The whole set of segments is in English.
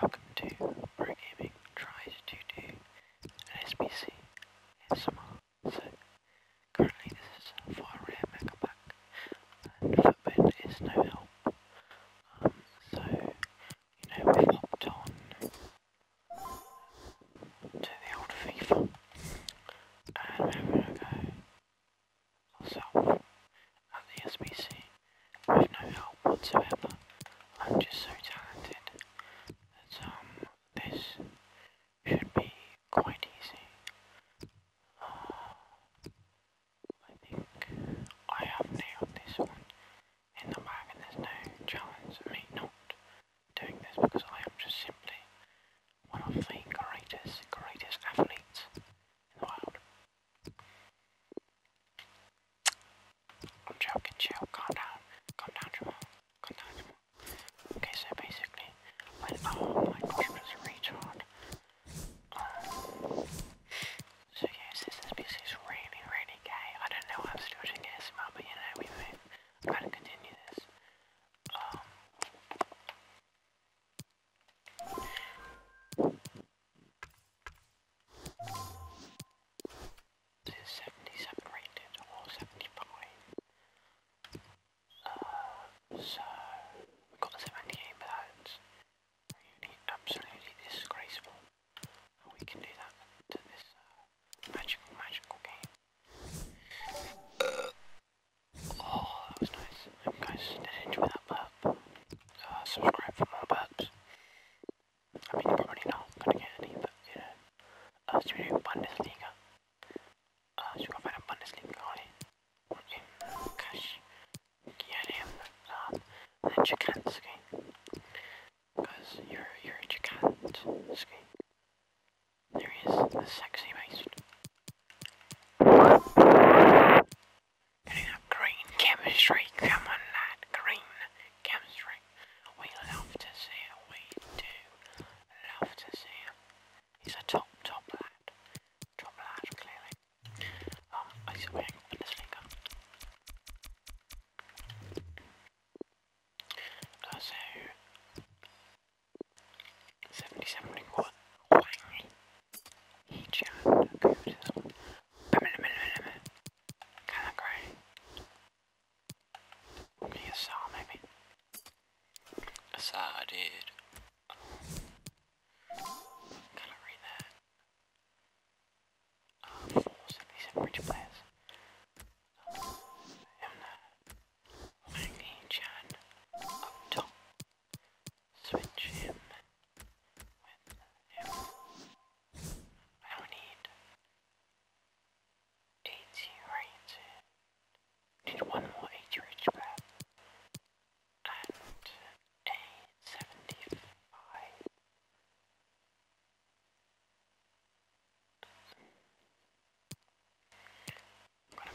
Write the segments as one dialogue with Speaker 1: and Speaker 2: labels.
Speaker 1: Welcome to Pro Gaming tries to do an SBC ASMR. So currently this is for a rare mega pack and is no help. Um, so you know we've hopped on to the old FIFA and we're having a go ourselves at the SBC with no help whatsoever. I'm just so talented that um, this should be quite easy. Uh, I think I have nailed this one in the bag and there's no challenge of me not doing this because I am just simply one of the greatest, greatest athletes in the world. I'm joking, chill, calm down, calm down, Jamal, calm down, Jamal. Okay, so basically, when oh my gosh, was retard. so yeah, this this piece is really, really gay. I don't know why I'm still doing ASMR, but you know, we move. I'm gonna continue this. Um, is 77 rated or 75. so we got the 78, but that's really absolutely disgraceful. How we can do that to this magical, magical game. oh, that was nice. you guys did enjoy that, but up, uh, subscribe for more bugs. I mean, you're probably not gonna get any, but you know. Uh, should we do Bundesliga? Uh, should we go find a Bundesliga guy? In Cash, get him, um, uh, and then Chikanski. Because you're, you're Chikanski. There he is, the sexy beast. Getting a green chemistry, come on lad, green chemistry. We love to see it, we do love to see it. He's a top, top lad. Top lad, clearly. Um, I see we ain't got this finger. Uh, so, each other. Okay, so. Kinda gray. saw, maybe. A saw, dude. Gotta read that. Uh, these rich players. Um, and, uh, Maggie Chan up top switch him I don't need AT right. Need one more AT rich back. And a seventy-five. am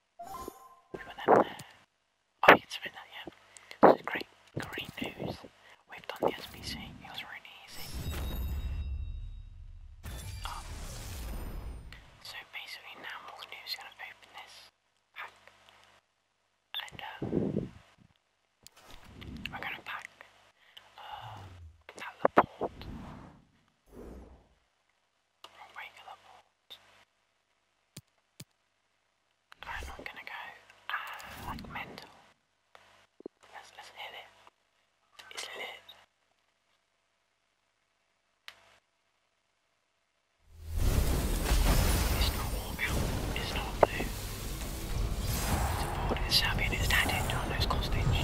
Speaker 1: Oh, it's been that, yeah. This is great, great news. We've done the SPC. It was really easy. Um, so basically now Morgan is going to open this pack. And, um, we're going to pack, uh, that Laporte from regular I'm not gonna go ah, like mental. Let's, let's hit it. It's lit. It's not warm not blue. It's board, it's shabby and it's tatted on those costage.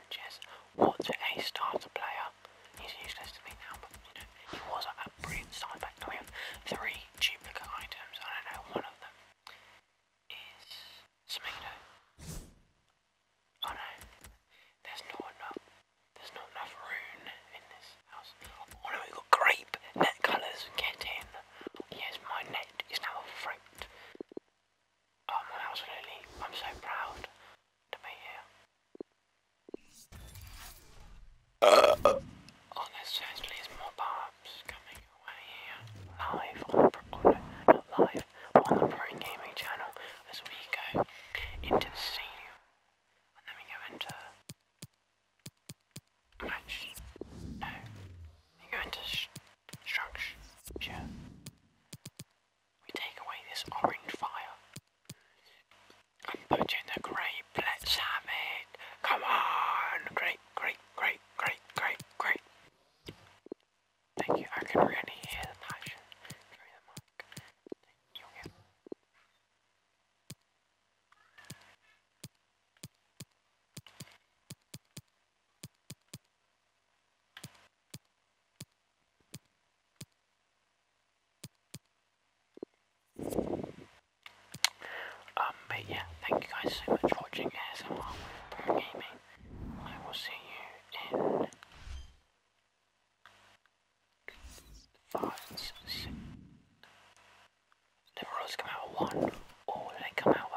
Speaker 1: Sanchez, what a starter player. He's useless to me now, but you know, he was like brilliant side back. We have three duplicate items, I don't know, one of them is Semedo. Oh no, there's not enough, there's not enough rune in this house. Oh no, we got grape, net colours, get in. Yes, my net is now a fruit absolutely. I'm so proud to be here. Uh. Oh, there more barbs coming your way here. Live on the pro live, on the Pro Gaming channel as we go into the stadium. And then we go into match. No. We go into structure. We take away this orange fire and put in the grape. Let's have it. Come on. Grape, grape, grape, grape, grape, grape. Thank you. I can really hear the passion through the mic. you um, but yeah, thank you guys so much for watching ASMR Gaming. I will see you in five, six. The rules come out at one, or they come out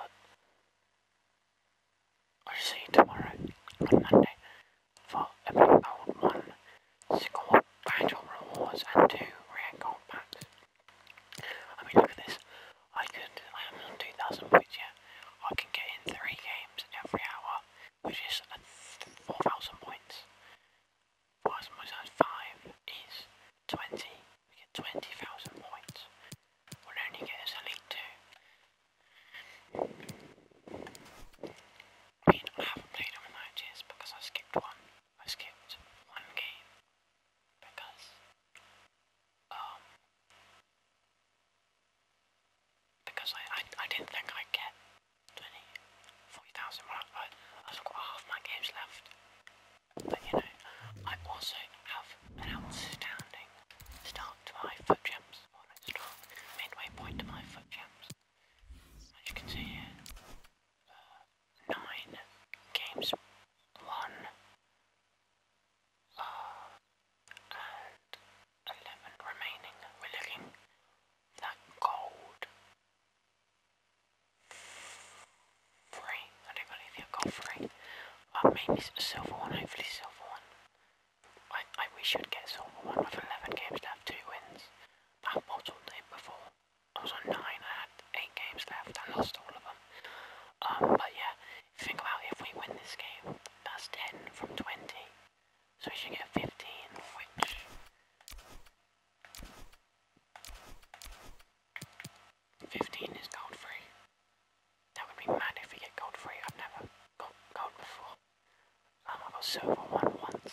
Speaker 1: I'll see you tomorrow on Monday for a gold one. Score battle rewards and two rare gold packs. I mean, look at this. I could, I am on 2,000 points yet. I can get in three games every hour, which is 4,000 points. 4,000 times 5 is 20. We get 20,000 points will only get I haven't played all the matches because I skipped one. I skipped one game because, um, because I, I, I didn't think I'd get 20, 40,000 I, I've got half my games left. But you know, I also have an outstanding start to my foot jumps, midway point to my foot jumps. As you can see here, uh, nine games won, uh, and eleven remaining. We're looking that gold free. I do believe he'll go free. Uh, silver one, hopefully silver one. I, I we should get silver one with 11 games left, 2 wins. I bottled it before. I was on 9, I had 8 games left, I lost all of them. Um, but yeah, think about if we win this game, that's 10 from 20. So we should get 15, which... 15 is gold free. That would be mad if we get gold free. I've never got gold before. Um, I got silver one once.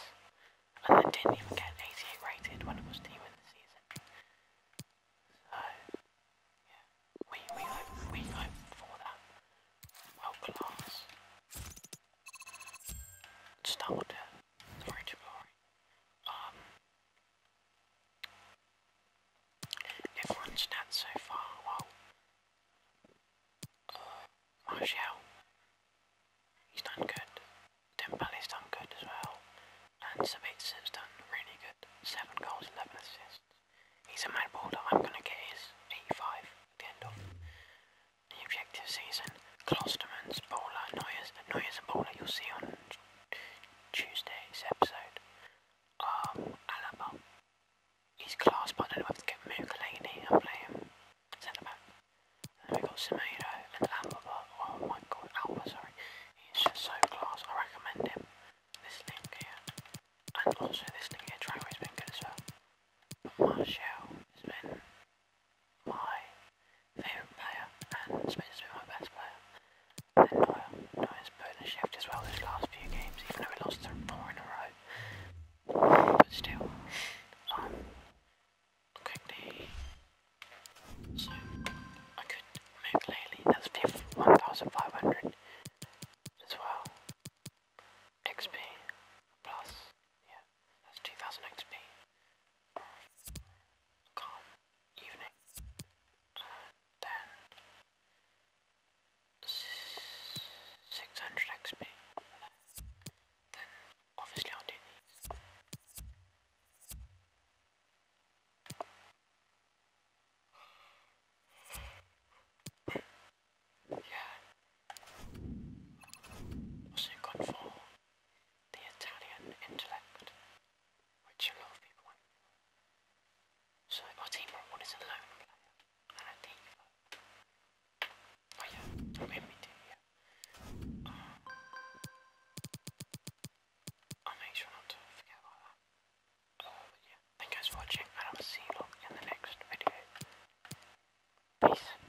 Speaker 1: And then didn't even get 88 rated when it was new in the season. So, yeah. We, we, we hope for that. Well, class. Starter. Sorry, Jabari. Um, Everyone's done so far, well, uh, he's done good, Dembele's done good as well, and Sabitza's done really good, 7 goals, 11 assists, he's a mad baller, I'm gonna get his 85 the end of the objective season, Klosterman's bowler, Neuer's, Neuer's bowler you'll see on Tuesday's episode um, Alaba. He's class, but I don't know to get Mukalini and play him back. then we got Semedo and Alaba. Oh my god, Alba, sorry. He's just so class. I recommend him. This link here. And also this link here, Traoré has been good as well. But has been my favourite player and smith to be my best player. And Noya, Noya's put in a shift as well these last few games, even though we lost four in a row. But still, um, quickly, so I could move Laylee, that's 1,500 as well. XP plus, yeah, that's 2,000 XP. can evening. Then six hundred XP. Then obviously I'll do these. Yeah. Also gone for the Italian intellect, which a lot of people will So my is a lone player and a diva. I mean oh me too, I'll make sure not to forget about that. Uh, thank you guys for watching and I will see you all in the next video. Peace.